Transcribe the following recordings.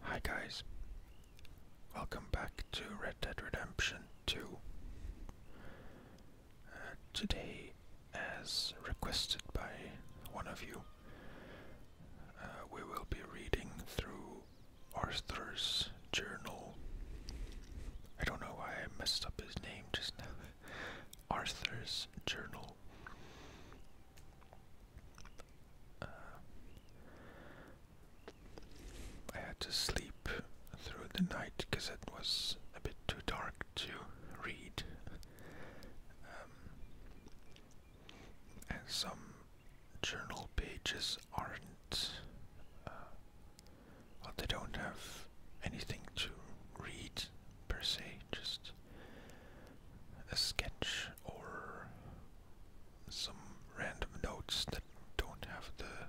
Hi guys, welcome back to Red Dead Redemption 2. Uh, today, as requested by one of you, uh, we will be reading through Arthur's journal. I don't know why I messed up his name just now. Arthur's Journal. Uh, I had to sleep through the night because it was a bit too dark to read. Um, and some journal pages aren't uh, well, they don't have anything to read per se, just a sketch or some random notes that don't have the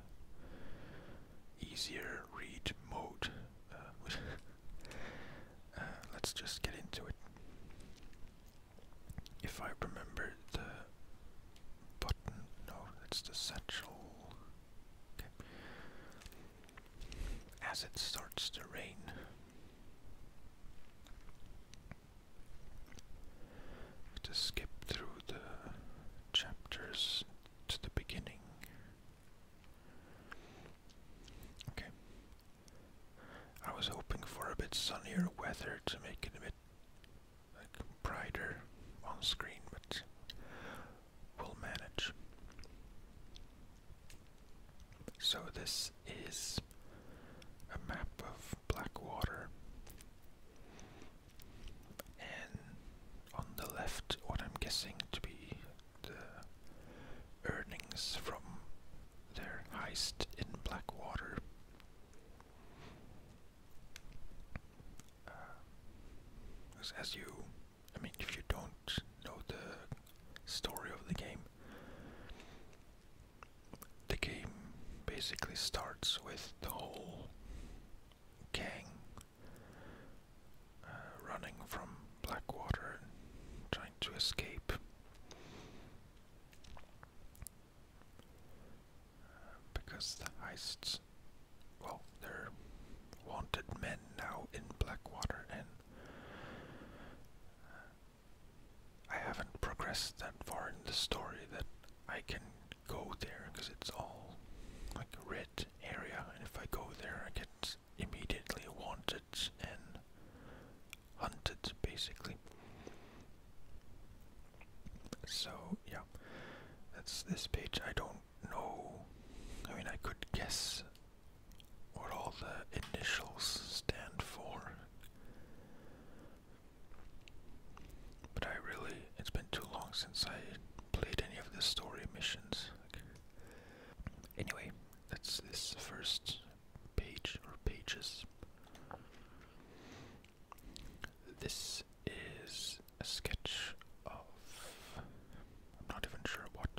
easier read mode. Uh, uh, let's just get into it. If I remember the button, no, it's the satchel. As it starts to rain, to skip through the chapters to the beginning. Okay. I was hoping for a bit sunnier weather to make it a bit like brighter on screen, but we'll manage. So this is a map of Blackwater. And on the left, what I'm guessing to be the earnings from their heist in Blackwater. Uh, as, you, I mean, if you don't know the story of the game, the game basically starts with the whole gang uh, running from Blackwater and trying to escape. Uh, because the heists well, they're wanted men now in Blackwater, and uh, I haven't progressed that far in the story that I can go there because it's all like a red area, and if I go there, I get immediately wanted and hunted basically. So, yeah, that's this page. I don't do I mean, I could guess what all the initials stand for. But I really, it's been too long since I played any of the story missions. Anyway, that's this first page or pages. This is a sketch of. I'm not even sure what.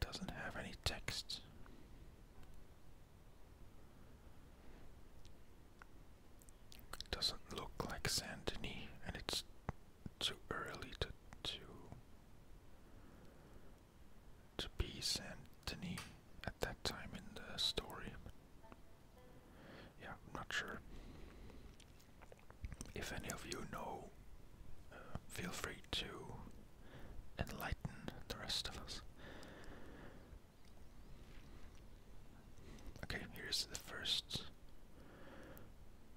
doesn't have any text. doesn't look like Saint and it's too early to to be Saint at that time in the story yeah, I'm not sure. If any of you know, uh, feel free to enlighten the rest of us. Okay, here's the first,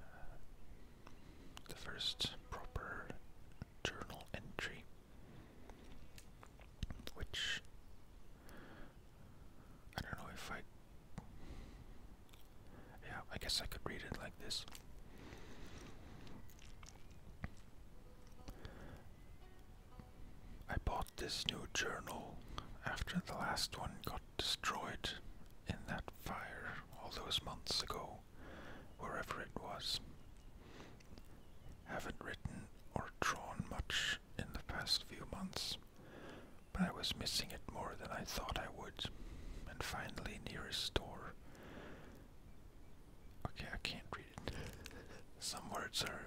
uh, the first proper journal entry, which I don't know if I. Yeah, I guess I could read it like this. I bought this new journal after the last one got destroyed in that fire all those months ago, wherever it was. Haven't written or drawn much in the past few months, but I was missing it more than I thought I would. And finally, nearest store. Okay, I can't read it. Some words are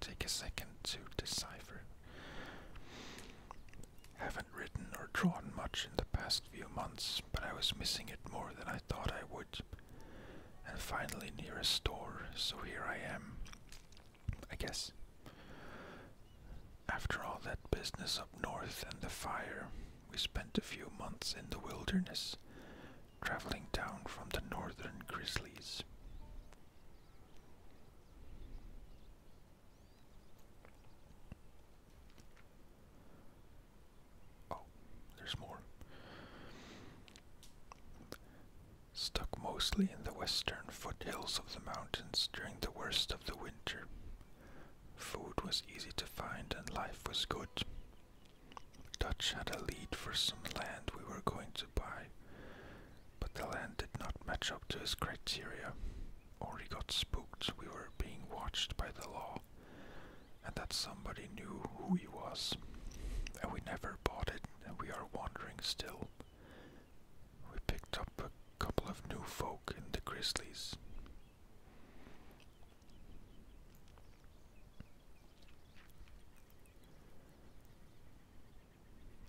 take a second to decipher. Haven't written or drawn much in the past few months, but I was missing it more than I thought I would. And finally, nearest store, so here I am. I guess. After all that business up north and the fire, we spent a few months in the wilderness, traveling down from the northern grizzlies. Oh, there's more stuck mostly in the western foothills of the mountains during the worst of the winter. Food was easy to find and life was good. Dutch had a lead for some land we were going to buy, but the land did not match up to his criteria, or he got spooked we were being watched by the law, and that somebody knew who he was, and we never bought it, and we are wandering still. We picked up a couple of new folk in the Grizzlies.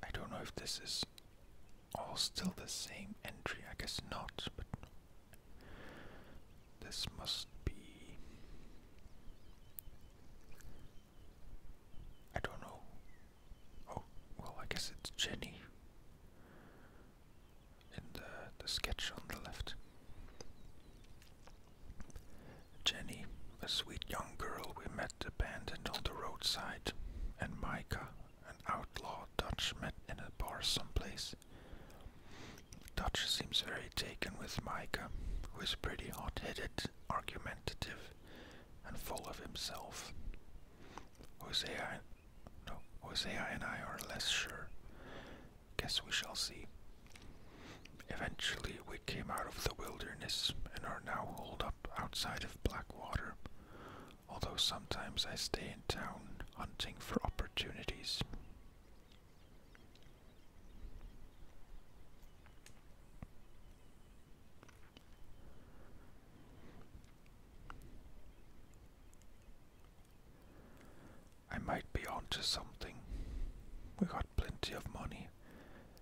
I don't know if this is all still the same entry, I guess not, but this must be I don't know. Oh, well, I guess it's Jenny in the, the sketch on the left. Jenny, a sweet young girl we met abandoned on the roadside, and Micah, an outlaw Dutch, met in a bar someplace. Dutch seems very taken with Micah, who is pretty hot headed, argumentative, and full of himself. Hosea, no, Hosea and I are less sure. Guess we shall see. Eventually, we came out of the wilderness and are now holed up outside of Blackwater, although sometimes I stay in town hunting for opportunities. I might be onto something. We got plenty of money,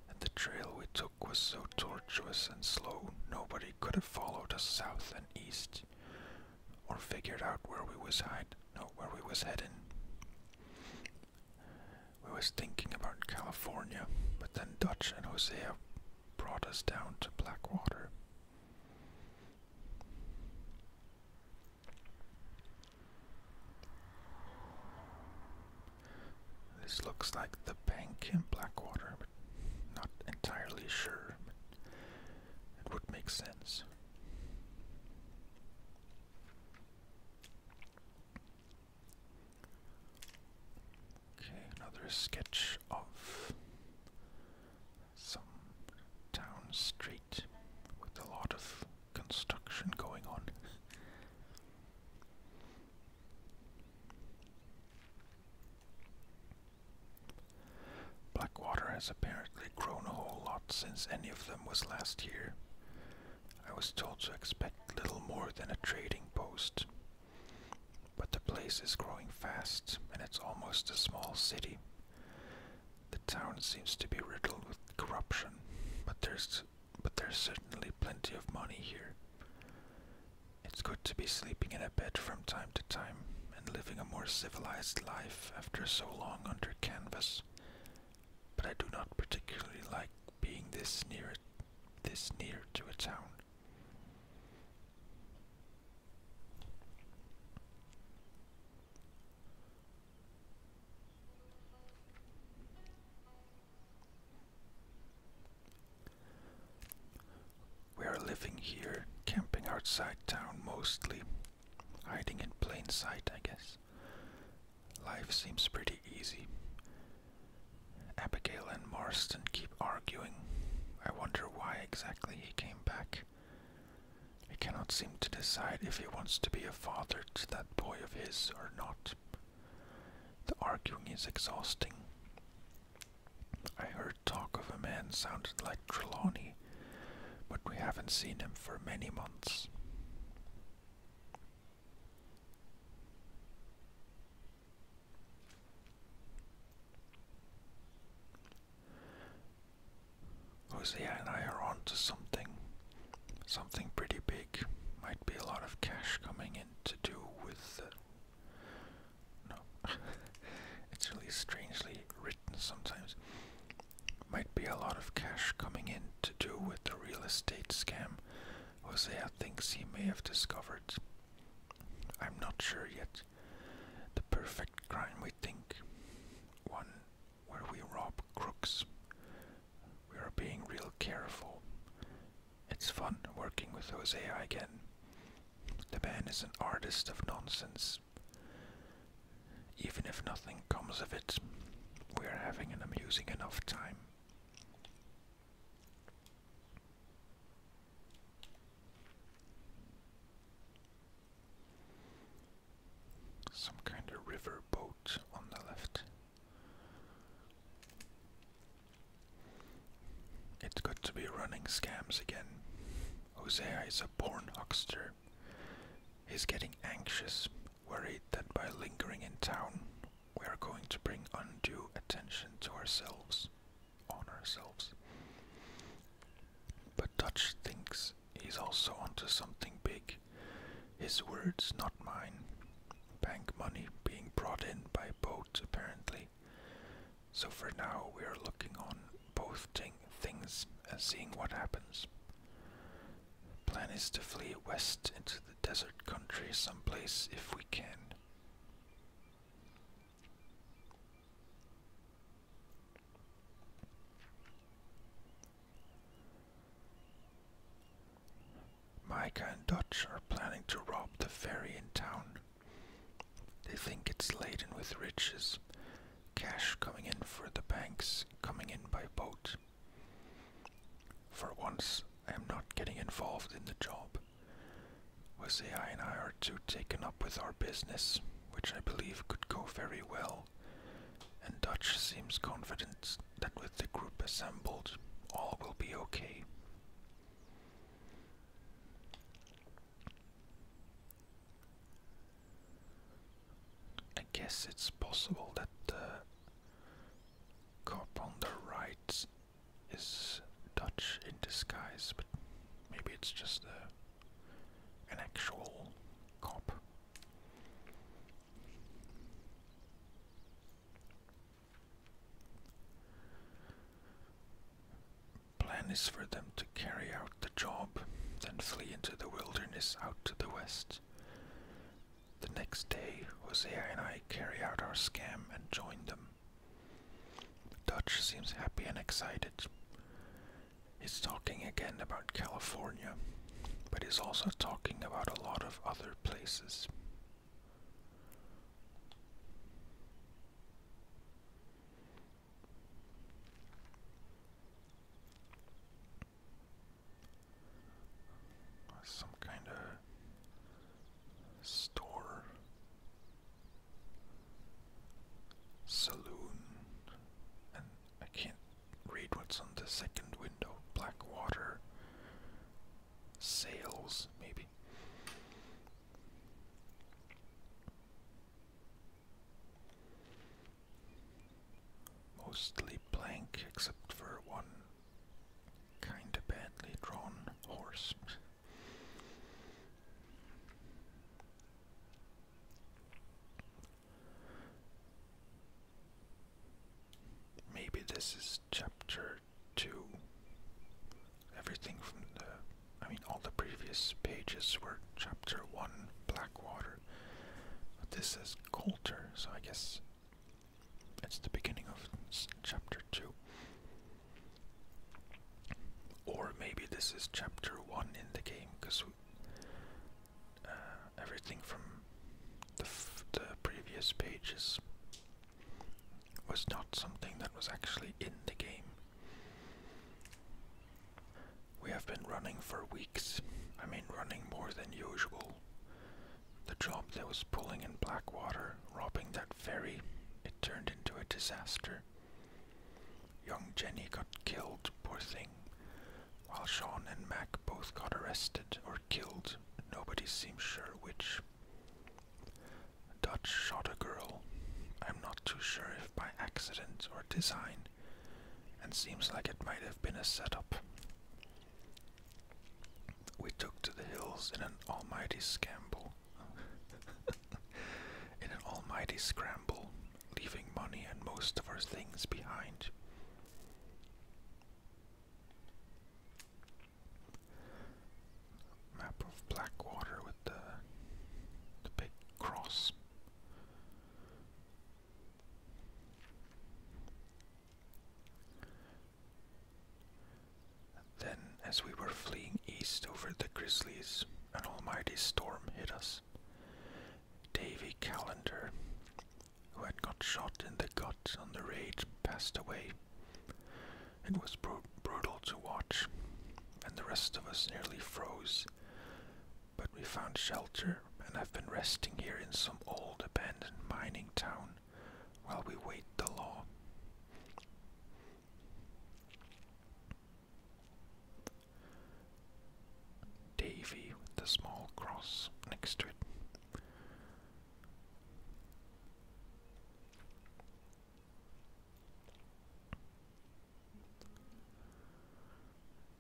and the trail we took was so tortuous and slow nobody could have followed us south and east, or figured out where we was hide nor where we was heading. We was thinking about California, but then Dutch and Hosea brought us down to Blackwater. This looks like the bank in Blackwater, but not entirely sure. it would make sense. Okay, another sketch of some town street with a lot of construction going on. Blackwater has apparently grown a whole lot since any of them was last here. I was told to expect little more than a trading post. But the place is growing fast, and it's almost a small city. The town seems to be riddled with corruption, but there's but there's certainly plenty of money here. It's good to be sleeping in a bed from time to time and living a more civilized life after so long under canvas. But I do not particularly like being this near it this near to a town. We are living here, camping outside town mostly, hiding in plain sight, I guess. Life seems pretty easy. Abigail and Marston keep arguing. I wonder why exactly he came back. He cannot seem to decide if he wants to be a father to that boy of his or not. The arguing is exhausting. I heard talk of a man sounded like Trelawney, but we haven't seen him for many months. Hosea and I are onto something. Something pretty big. Might be a lot of cash coming in to do with No. it's really strangely written sometimes. Might be a lot of cash coming in to do with the real estate scam Josea thinks he may have discovered. I'm not sure yet. The perfect crime, we think. One where we rob crooks. We are being real careful. It's fun working with Josea again. The man is an artist of nonsense. Even if nothing comes of it, we are having an amusing enough time. Some kind of river boat on the left. It's good to be running scams again. Hosea is a born huckster. He's getting anxious worried that by lingering in town, we are going to bring undue attention to ourselves, on ourselves. But Dutch thinks he's also onto something big. His words, not mine. Bank money being brought in by boat, apparently. So for now, we are looking on both things and uh, seeing what happens. Plan is to flee west into the desert country someplace if we can. Micah and Dutch are planning to rob the ferry in town. They think it's laden with riches, cash coming in for the banks, coming in by boat. For once, I am not getting involved in the job. Hosea and I are too taken up with our business, which I believe could go very well, and Dutch seems confident that with the group assembled, all will be okay. I guess it's possible that uh, cop on the right is Dutch in disguise, but maybe it's just an actual cop. Plan is for them to carry out the job, then flee into the wilderness out to the west. The next day, Hosea and I carry out our scam and join them. Dutch seems happy and excited. He's talking again about California, but he's also talking about a lot of other places. Some kind of store, saloon, and I can't read what's on the second window. Blackwater sales, maybe. Mostly blank except for one Kinda badly drawn horse. Maybe this is chapter 2. Everything from the. I mean, all the previous pages were chapter 1, Blackwater. this is Coulter, so I guess it's the beginning of chapter 2. Or maybe this is chapter 1 in the game, because uh, everything from the previous pages was not something that was actually in the game. We have been running for weeks. I mean, running more than usual. The job that was pulling in Blackwater, robbing that ferry, it turned into a disaster. Young Jenny got killed, poor thing, while Sean and Mac both got arrested or killed, nobody seems sure which. Dutch shot a girl, I'm not too sure if by accident or design, and seems like it might have been a setup. We took to the hills in an almighty scramble. in an almighty scramble, leaving money and most of our things behind. Map of Blackwater with the the big cross. Then, as we were fleeing east over the Grizzlies, an almighty storm hit us. Davy Calendar, who had got shot in the gut on the raid, passed away. It was brutal to watch, and the rest of us nearly froze. But we found shelter and have been resting here in some old abandoned mining town while we wait the law. Davy with the small cross next to it.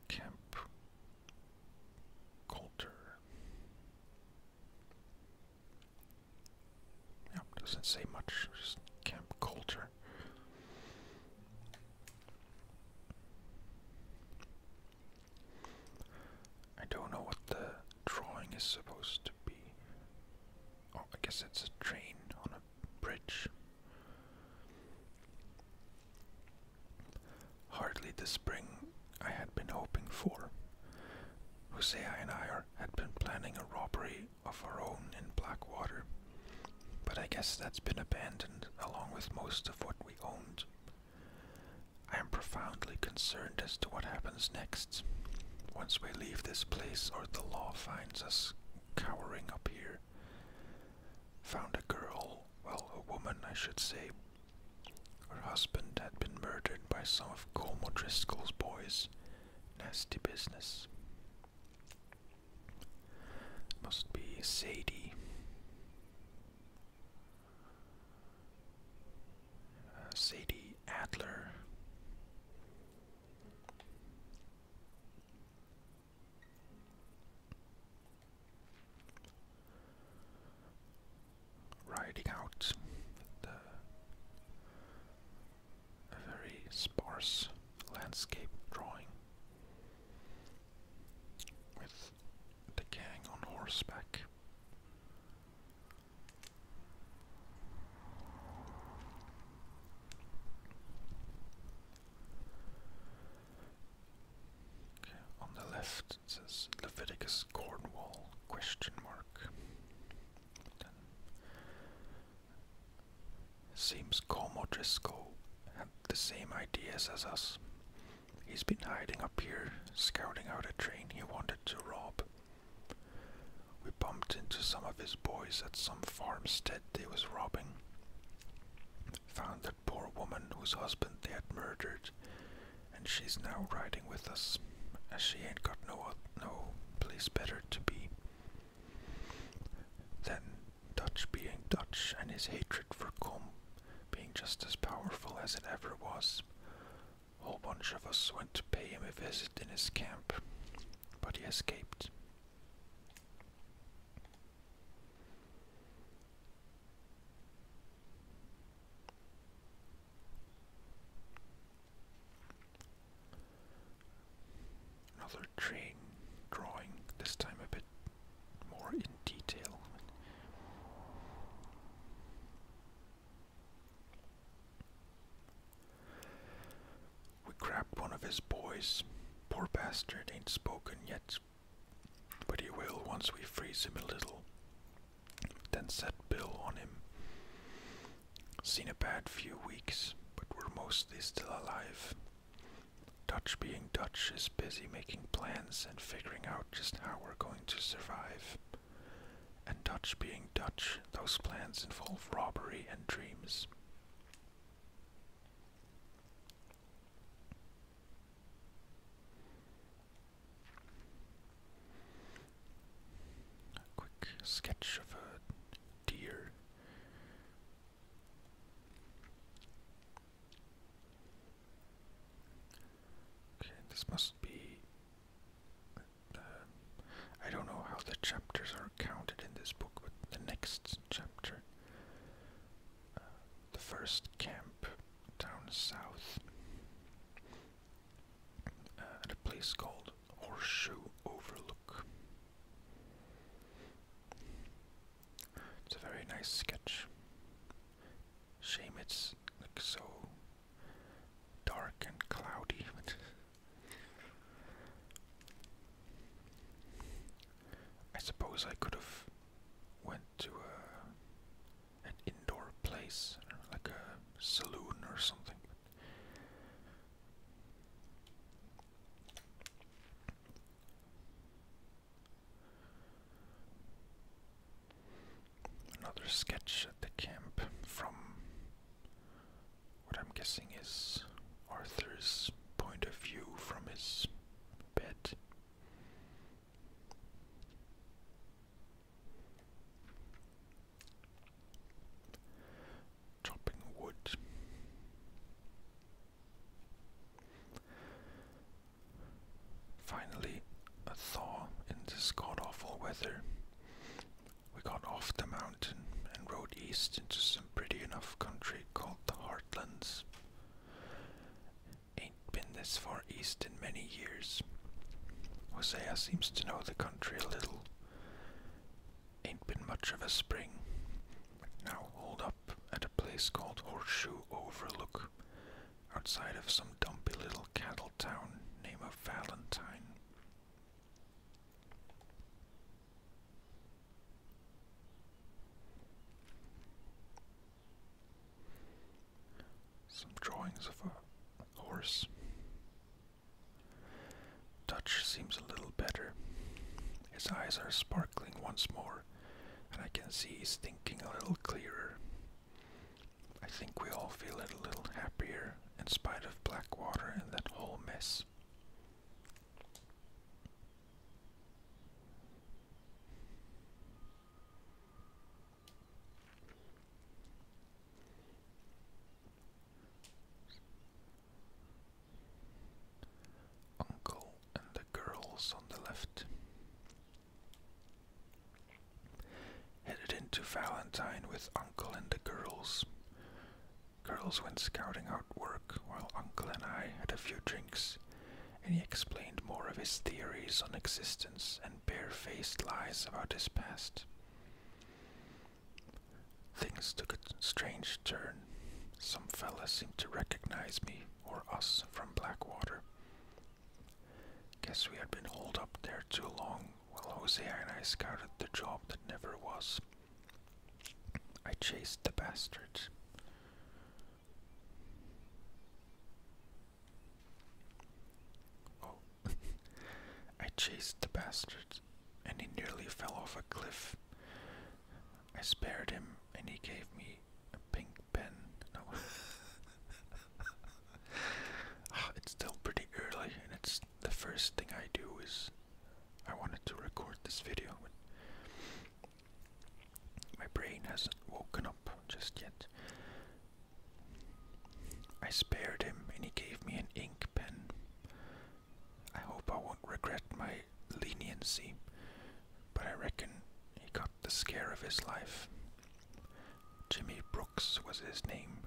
Camp Culture. Yep, doesn't say much. Just Camp culture. I don't know what the drawing is supposed to be. Oh, I guess it's a train on a bridge. Hardly the spring I had been hoping for. Hosea and I are, had been planning a robbery of our own in Blackwater, but I guess that's been abandoned along with most of what we owned. I am profoundly concerned as to what happens next. Once we leave this place, or the law finds us cowering up here. Found a girl, well, a woman, I should say, her husband had been murdered by some of Colm O'Driscoll's boys. Nasty business. Must be Sadie. Uh, Sadie Adler riding out a very sparse landscape drawing with the gang on horseback. on the left instances. Leviticus Cornwall Seems Como Driscoll had the same ideas as us. He's been hiding up here, scouting out a train he wanted to rob. We bumped into some of his boys at some farmstead they was robbing. Found that poor woman whose husband they had murdered, and she's now riding with us, as she ain't got no no place better to be than Dutch being Dutch and his hatred for Com being just as powerful as it ever was. a Whole bunch of us went to pay him a visit in his camp, but he escaped. Another train drawing, this time a bit more in detail. We grabbed one of his boys. Poor bastard ain't spoken yet but he will once we freeze him a little. Then set Bill on him. Seen a bad few weeks, but we're mostly still alive. Dutch being Dutch is busy making plans and figuring out just how we're going to survive. And Dutch being Dutch, those plans involve robbery and dreams. A quick sketch of a deer. Okay, this must be. Um, I don't know how the chapters are counted in this book, but the next chapter the first camp down south at a place called Horseshoe Overlook. It's a very nice sketch. Shame it's like so dark and cloudy, I suppose I could have went to uh, an indoor place, like a saloon or something. Another sketch at the camp from what I'm guessing is Arthur's point of view from his bed. Chopping wood. Finally, a thaw in this god awful weather. We got off the mountain and rode east into some pretty enough country called the Heartlands. Ain't been this far east in many years. Hosea seems to know the country a little. Ain't been much of a spring. Now hold up at a place called Horseshoe Overlook, outside of some dumpy little cattle town named Valentine. Some drawings of a horse. Dutch seems a little better. His eyes are sparkling once more, and I can see he's thinking a little clearer. I think we all feel a little happier in spite of black water and that whole mess. Uncle and the girls on the left. Headed into Valentine with Uncle and the girls. Girls went scouting out work while Uncle and I had a few drinks and he explained more of his theories on existence and barefaced lies about his past. Things took a strange turn. Some fella seemed to recognize me or us from Blackwater. Guess we had been holed up there too long while Hosea and I scouted the job that never was. I chased the bastards. Oh. I chased the bastard, and he nearly fell off a cliff. I spared him, and he gave me a pink pen. No. Ah, it's still pretty early, and it's the first thing I do is I wanted to record this video. My brain hasn't woken up just yet. I spared him and he gave me an ink pen. I hope I won't regret my leniency, but I reckon he got the scare of his life. Jimmy Brooks was his name.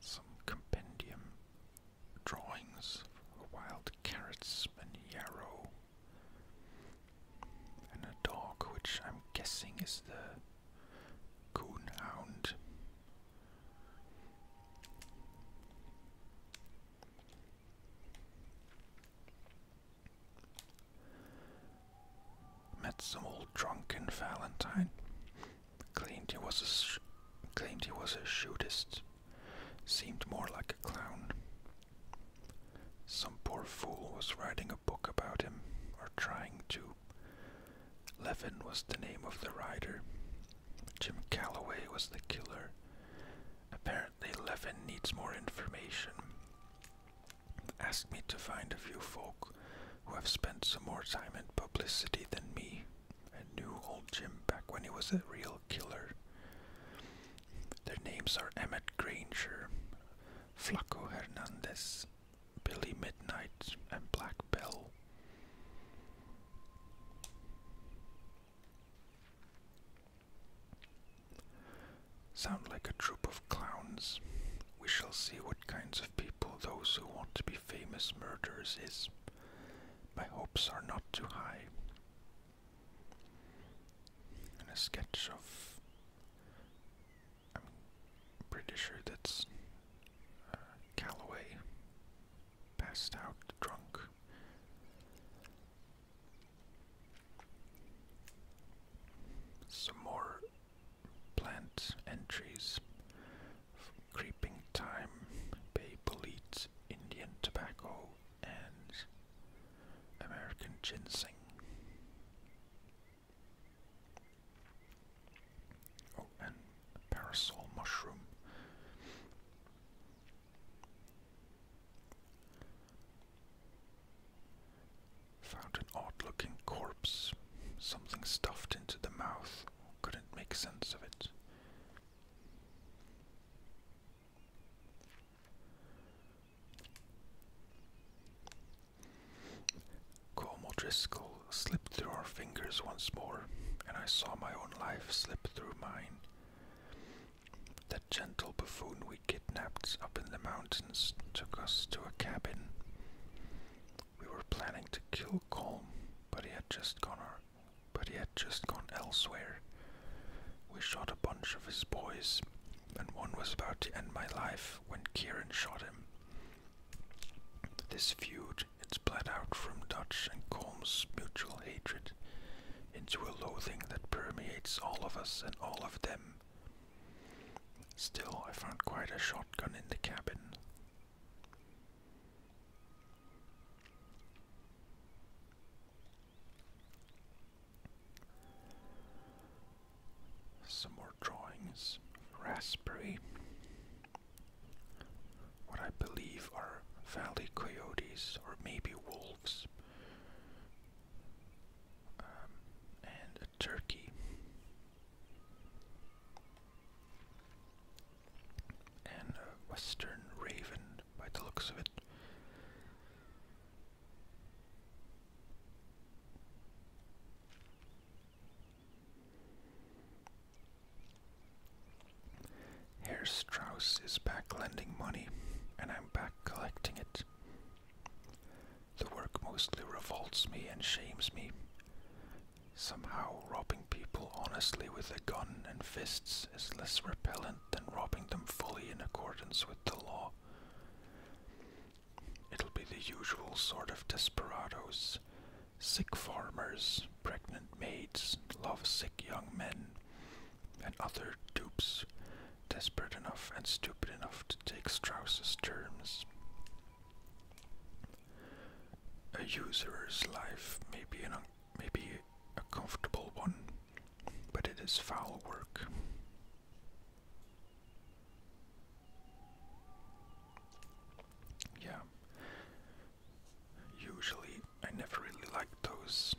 Some compendium drawings of wild carrots and yarrow. And a dog, which I'm guessing is the coonhound. Met some old drunken Valentine. Claimed he was a sh claimed he was a shootist. Seemed more like a clown. Some poor fool was writing a book about him, or trying to. Levin was the name of the writer. Jim Calloway was the killer. Apparently, Levin needs more information asked me to find a few folk who have spent some more time in publicity than me and knew old Jim back when he was a real killer. Their names are Emmett Granger, Flaco Hernandez, Billy Midnight, and Black Bell. Sound like a troop of clowns. We shall see what kinds of people those who want to be famous murderers is. My hopes are not too high. And a sketch of. I'm pretty sure that's uh, Calloway, passed out drunk. Some more plant entries, creeping thyme, Babel leads, Indian tobacco, and American ginseng. Oh, and parasol mushroom. Found an odd looking corpse, something stuffed into the mouth, couldn't make sense of it. Como slipped through our fingers once more, and I saw my own life slip through mine. That gentle buffoon we kidnapped up in the mountains took us to a cabin. We were planning to kill Colm, but he had just gone but he had just gone elsewhere. We shot a bunch of his boys, and one was about to end my life when Kieran shot him. This feud it bled out from Dutch and Colm's mutual hatred into a loathing that permeates all of us and all of them. Still, I found quite a shotgun in the cabin. Some more drawings. Raspberry. What I believe are valley coyotes or maybe wolves. Um, and a turkey. And a western raven by the looks of it. Herr Strauss is back lending money, and I'm back collecting it. The work mostly revolts me and shames me. Somehow, robbing people honestly with a gun and fists is less repellent than robbing them fully in accordance with the law. It'll be the usual sort of desperados sick farmers, pregnant maids, lovesick young men, and other dupes desperate enough and stupid enough to take Strauss's terms. A user's life may be, an may a comfortable one, but it is foul work. Yeah. Usually, I never really like those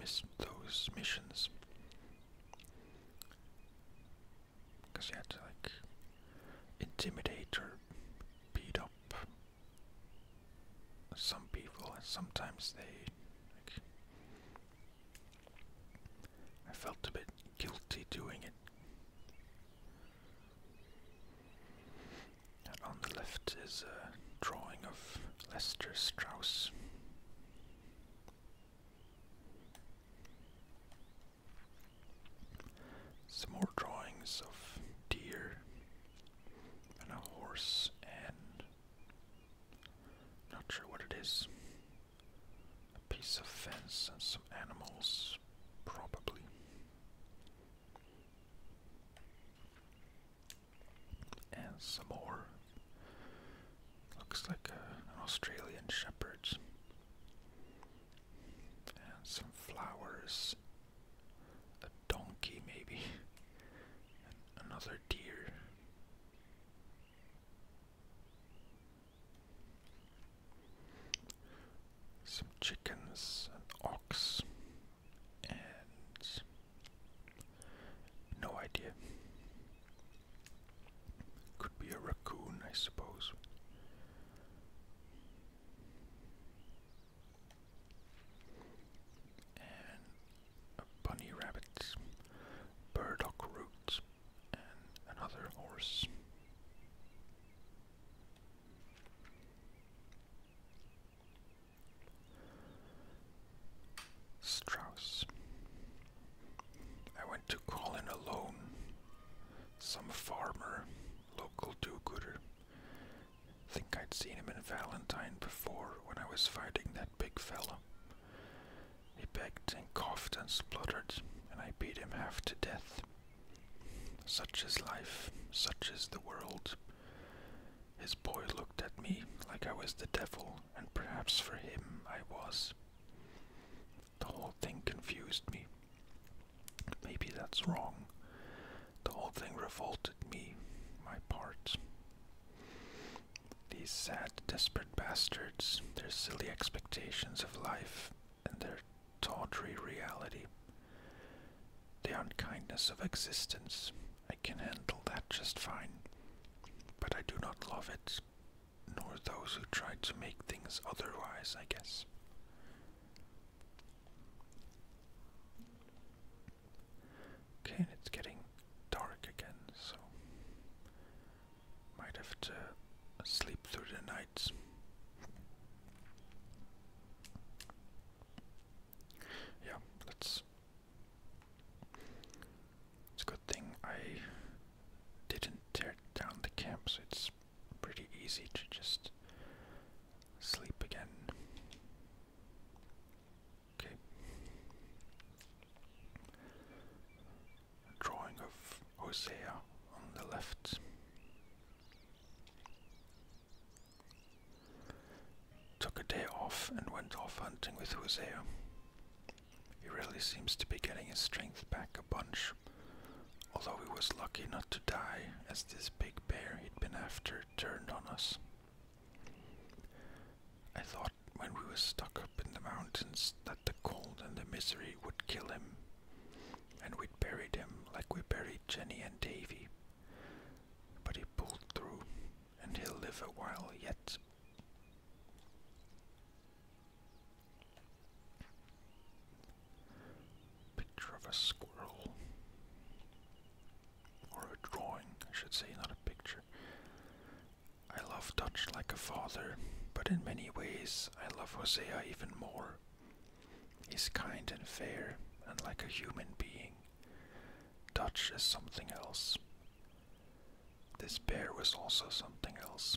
miss those missions. Because you had to like intimidate or beat up some people, and sometimes they. I felt a bit guilty doing it. on the left is a drawing of Lester Strauss. Some more drawings of deer and a horse and not sure what it is. A piece of fence and some animals, probably. And some more Looks like uh, an Australian shepherd. And some flowers. A donkey, maybe. another deer. Some chickens, an ox, and no idea. Could be a raccoon, I suppose. And a bunny rabbit, burdock root, and another horse. Strauss. I went to call in a loan. Some farmer, local do-gooder. Think I'd seen him in Valentine before when I was fighting that big fella. He begged and coughed and spluttered, and I beat him half to death. Such is life, such is the world. His boy looked at me like I was the devil, and perhaps for him I was. The whole thing confused me. Maybe that's wrong. The whole thing revolted me, my part. These sad, desperate bastards, their silly expectations of life, and their tawdry reality. The unkindness of existence, I can handle that just fine. But I do not love it, nor those who try to make things otherwise, I guess. Okay, it's getting dark again, so might have to sleep through the night. Yeah, let's it's a good thing I didn't tear down the camp, so it's pretty easy to just sleep again. Okay. drawing of Hosea on the left. Took a day off and went off hunting with Hosea. He really seems to be getting his strength back a bunch. Although he was lucky not to die, as this big bear he'd been after turned on us. I thought when we were stuck up in the mountains that the cold and the misery would kill him, and we'd buried him like we buried Jenny and Davy. But he pulled through, and he'll live a while yet. Picture of a squirrel. Or a drawing, I should say, not a picture. I love Dutch like a father, but in many ways I love Hosea even more. He's kind and fair, and like a human being. Dutch is something else. This bear was also something else.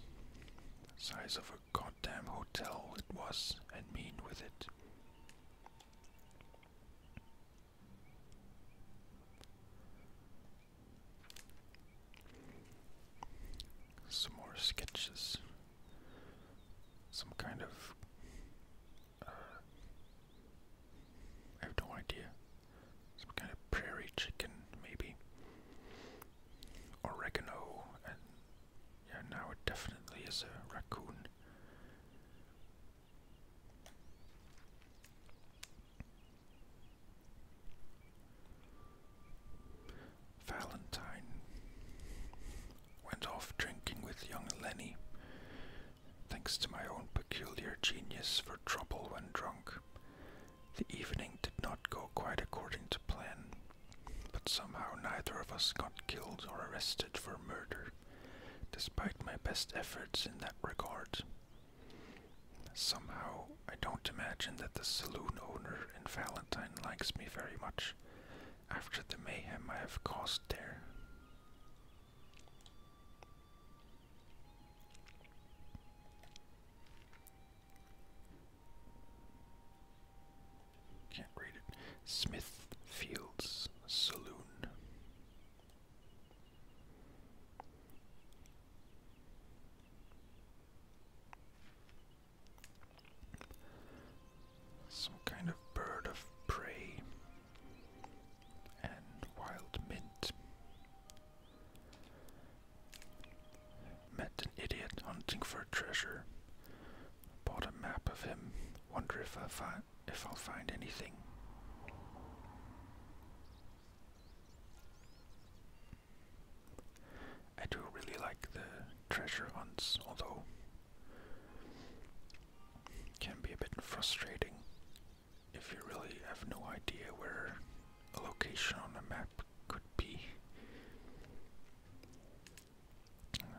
size of a goddamn hotel it was, and mean with it. Some more sketches. Some kind of. Uh, I have no idea. Some kind of prairie chicken, maybe. Oregano, and yeah, now it definitely is a raccoon. Valentine went off drinking with young Lenny, thanks to my own peculiar genius for trouble when drunk. The evening did not go quite according to plan, but somehow neither of us got killed or arrested for murder, despite my best efforts in that regard. Somehow, I don't imagine that the saloon owner in Valentine likes me very much after the mayhem I have caused there. Can't read it. Smithfield's Saloon. Some kind of bird of prey and wild mint. Met an idiot hunting for treasure. Bought a map of him. Wonder if I find if I'll find anything. I do really like the treasure hunts, although can be a bit frustrating if you really have no idea where a location on a map could be.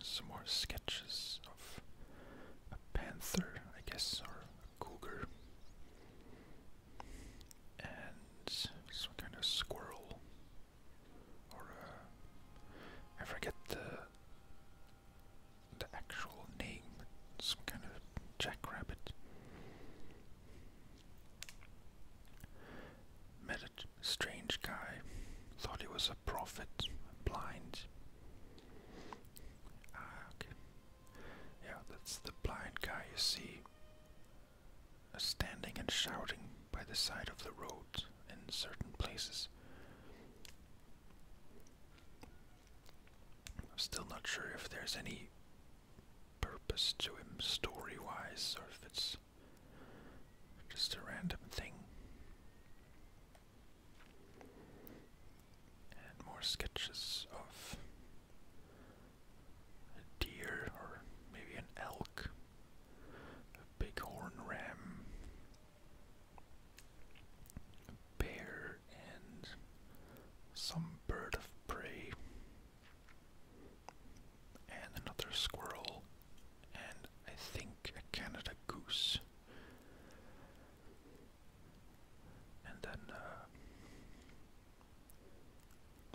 Some more sketches of a panther, I guess, or a cougar, and some kind of squirrel, or a, uh, I forget the the actual name, some kind of jackrabbit. Met a strange guy, thought he was a prophet, blind. Ah, yeah, that's the blind guy you see uh, standing and shouting by the side of the road in certain places. still not sure if there's any purpose to him story wise or if it's just a random thing. more sketches of a deer or maybe an elk, a bighorn ram, a bear, and some bird of prey and another squirrel, and I think a Canada goose. And then uh,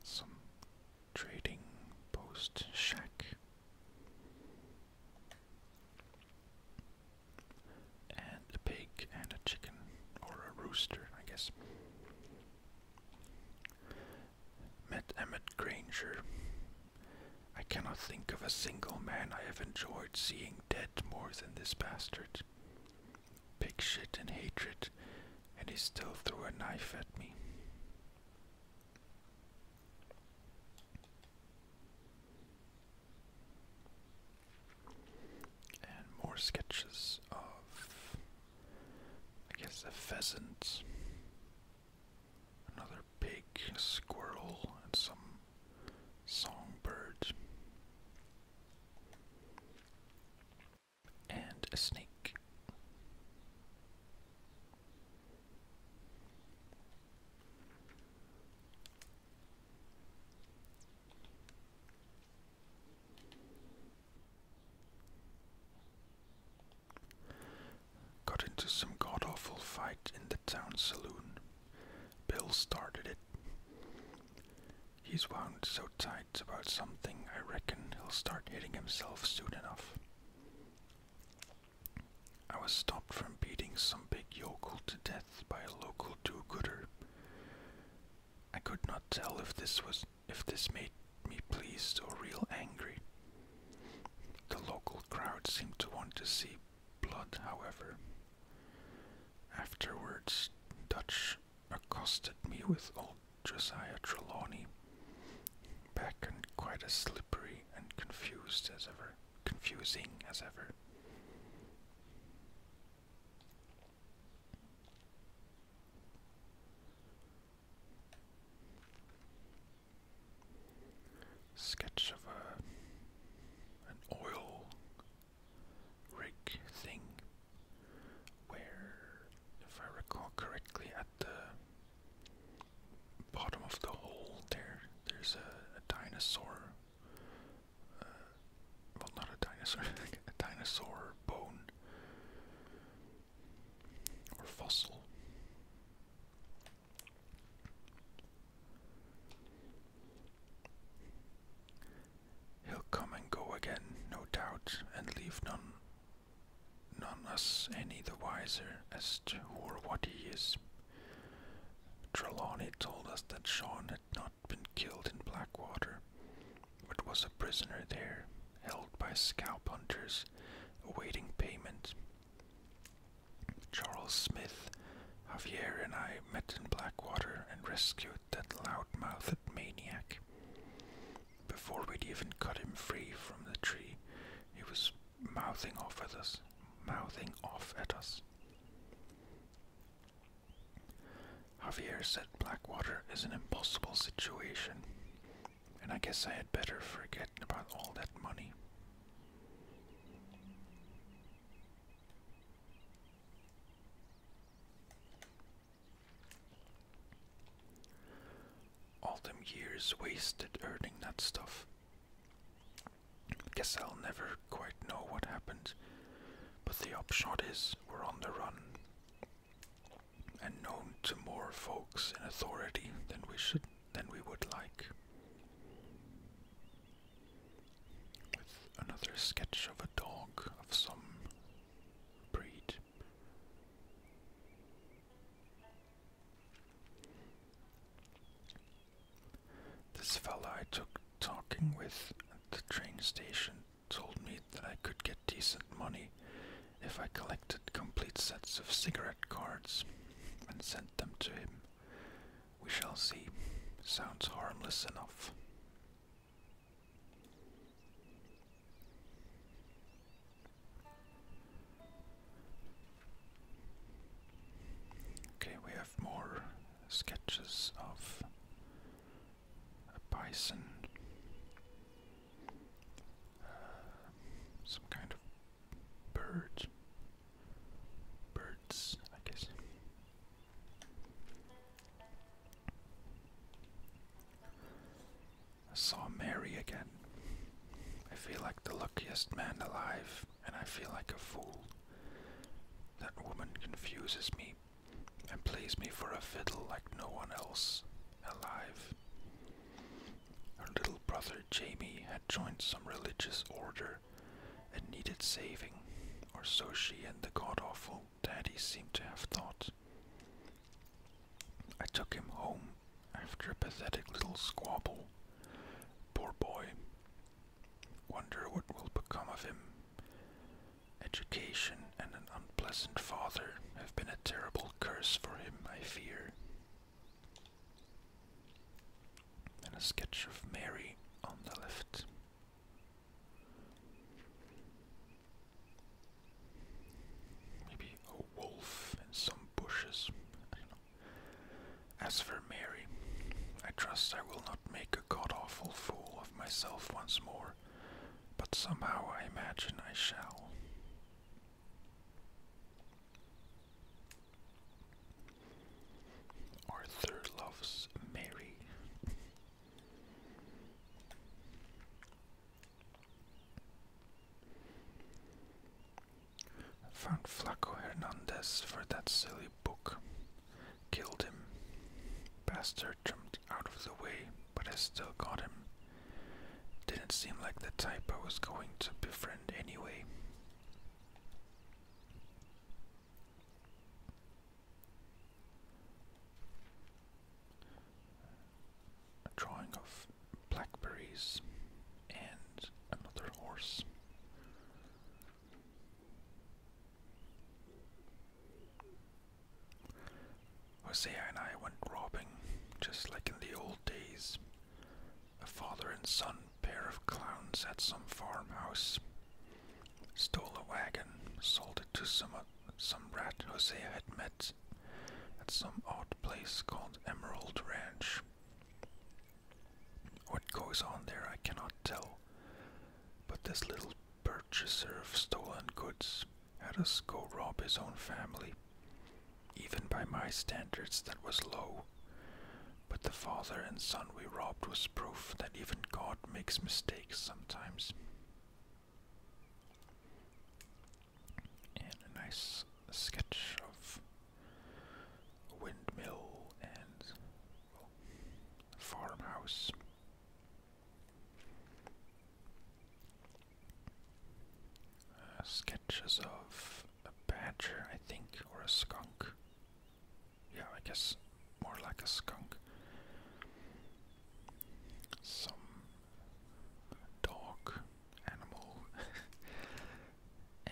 some trading post shack. And a pig and a chicken, or a rooster, I guess. Met Emmett Granger. I cannot think of a single man I have enjoyed seeing dead more than this bastard. Pig shit and hatred, and he still threw a knife at me and more sketches of, I guess, a pheasant, another pig, a squirrel, and some songbirds, and a snake. Got into some god awful fight in the town saloon. Bill started it. He's wound so tight about something, I reckon he'll start hitting himself soon enough. I was stopped from beating some big yokel to death by a local do-gooder. I could not tell if this was if this made me pleased or real angry. The local crowd seemed to want to see blood, however. Afterwards, Dutch accosted me with old Josiah Trelawney, back and quite as slippery and confused as ever, confusing as ever. Sketch of a, an oil rig thing where, if I recall correctly, at the bottom of the hole there, there's a, dinosaur uh, not a dinosaur, a dinosaur bone or fossil. He'll come and go again, no doubt, and leave none, none us any the wiser as to who or what he is. Trelawney told us that Sean had not been killed in Blackwater, but was a prisoner there, held by scalp hunters, awaiting payment. Charles Smith, Javier, and I met in Blackwater and rescued that loud-mouthed maniac. Before we'd even cut him free from the tree, he was mouthing off at us, mouthing off at us. Javier said Blackwater is an impossible situation, and I guess I had better forget about all that money. All them years wasted earning that stuff. Guess I'll never quite know what happened, but the upshot is bandits were on the run and known to more folks in authority than we should than we would like. With another sketch of a dog of some breed. This fellow I took talking with at the train station told me that I could get decent money if I collected complete sets of cigarette cards and sent them to him. We shall see. Sounds harmless enough. Okay, we have more sketches of a bison, uh, some kind of bird, birds, I guess. I saw Mary again. I feel like the luckiest man alive, and I feel like a fool. That woman confuses me and plays me for a fiddle like no one else alive. Her little brother Jamie had joined some religious order and needed saving, or so she and the god awful daddy seemed to have thought. I took him home after a pathetic little squabble. Poor boy. Wonder what will become of him Education and an unpleasant father have been a terrible curse for him, I fear. And a sketch of Mary on the left. Maybe a wolf in some bushes. I don't know. As for Mary, I trust I will not make a god awful fool of myself once more but somehow I imagine I shall. Arthur loves Mary. Found Flaco Hernandez for that silly book. Killed him. Bastard jumped out of the way, but I still got him. Didn't seem like the type I was going to befriend anyway. drawing of blackberries and another horse. Hosea and I went robbing, just like in the old days. A father and son pair of clowns at some farmhouse. Stole a wagon, sold it to some, uh, some rat Hosea had met at some odd place called Emerald Ranch. What goes on there I cannot tell, but this little bird. To serve stolen goods had us go rob his own family. Even by my standards, that was low. But the father and son we robbed was proof that even God makes mistakes sometimes. And a nice sketch of windmill and farmhouse. Uh, sketches of a badger, I think, or a skunk. Yeah, I guess more like a skunk. Some dog animal.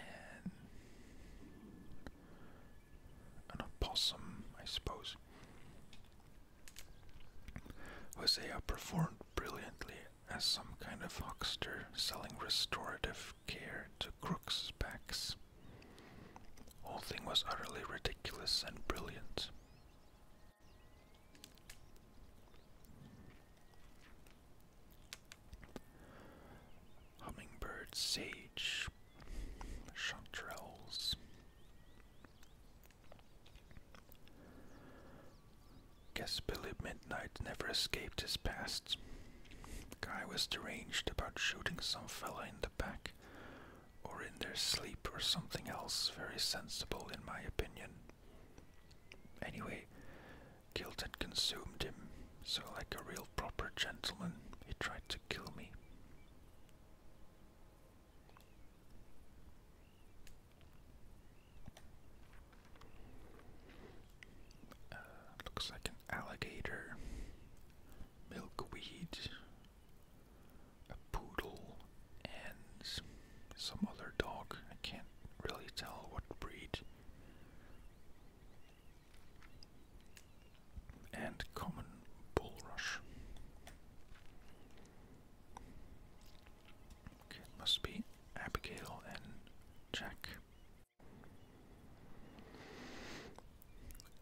an opossum, I suppose. Hosea performed brilliantly as some kind of huckster selling restorative care to crooks' backs. Whole thing was utterly ridiculous and brilliant. Hummingbird sage, chanterelles, Guess Billy Midnight never escaped his past. Guy was deranged about shooting some fella in the back, or in their sleep, or something else very sensible, in my opinion. Anyway, guilt had consumed him, so like a real proper gentleman, he tried to kill me. Uh, looks like an alligator, milkweed, a poodle, and some other dog. I can't really tell what breed and common bulrush. Okay, must be Abigail and Jack.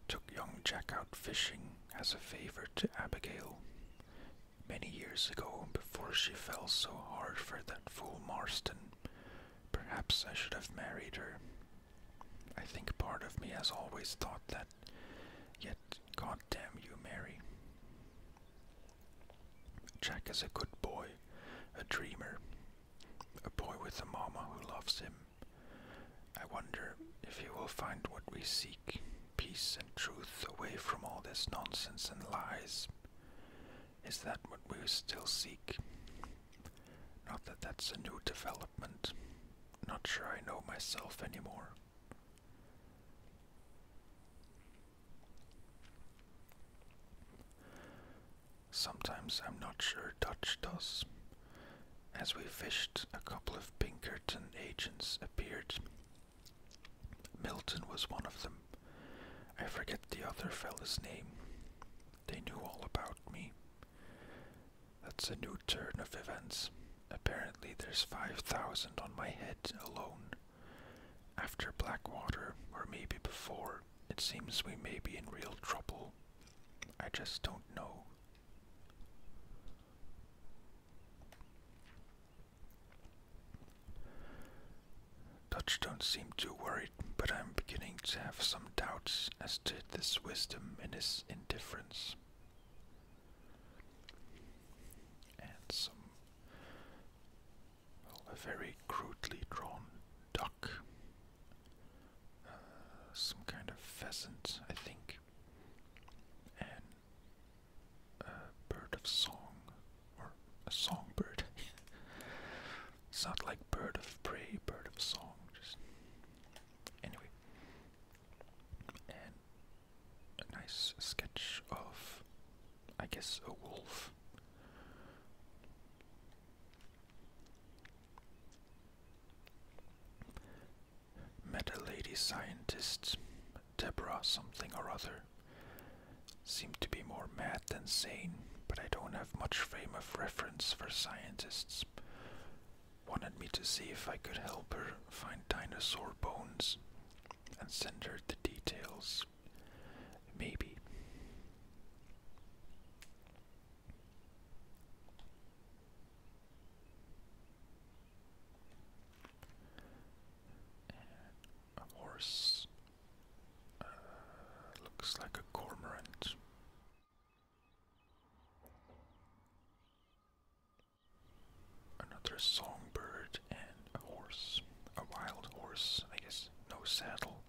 Took young Jack out fishing as a favor to Abigail many years ago before she fell so hard for that fool Marston. Perhaps I should have married her, I think part of me has always thought that, yet, goddamn you, Mary. Jack is a good boy, a dreamer, a boy with a mama who loves him. I wonder if he will find what we seek peace and truth away from all this nonsense and lies. Is that what we still seek? Not that that's a new development, not sure I know myself anymore. Sometimes I'm not sure Dutch does. As we fished, a couple of Pinkerton agents appeared. Milton was one of them. I forget the other fellow's name. They knew all about me. That's a new turn of events. Apparently, there's 5,000 on my head alone. After Blackwater, or maybe before, it seems we may be in real trouble. I just don't know. Dutch don't seem too worried, but I'm beginning to have some doubts as to this wisdom and his indifference and some a very crudely drawn duck, uh, some kind of pheasant, I think, and a bird of song, or a songbird. it's not like bird of prey, bird of song, just anyway a nice sketch of, I guess, a wolf. Met a lady scientist, Deborah something or other. Seemed to be more mad than sane, but I don't have much frame of reference for scientists wanted me to see if I could help her find dinosaur bones and send her the details. Maybe. A horse uh, looks like a cormorant. Another songbird and a horse. A wild horse, I guess. No saddle.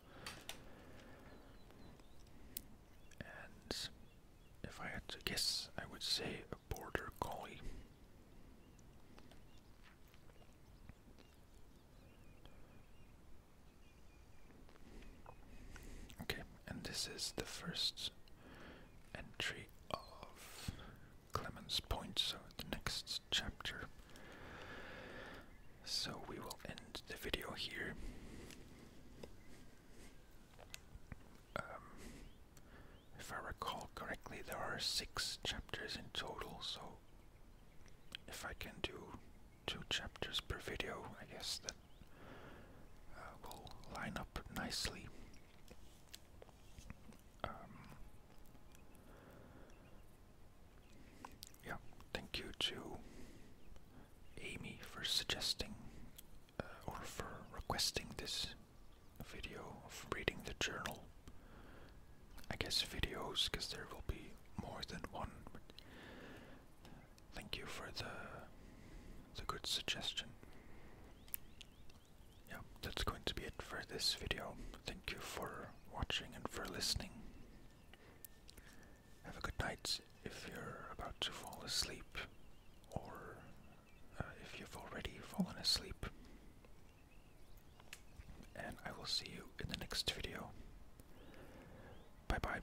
And if I had to guess, I would say a border collie. Okay, and this is the first entry of Clemens Point, so the next chapter. So we will end the video here. Um, if I recall correctly, there are six chapters in total, so if I can do two chapters per video, I guess that will line up nicely. Um, yeah, thank you to Amy for suggesting uh, or for requesting this video of reading the journal. I guess videos, because there will be more than one. Thank you for the the good suggestion. Yeah, that's going to be it for this video. Thank you for watching and for listening. Have a good night if you're about to fall asleep, or uh, if you've already fallen asleep. And I will see you in the next video. Bye bye.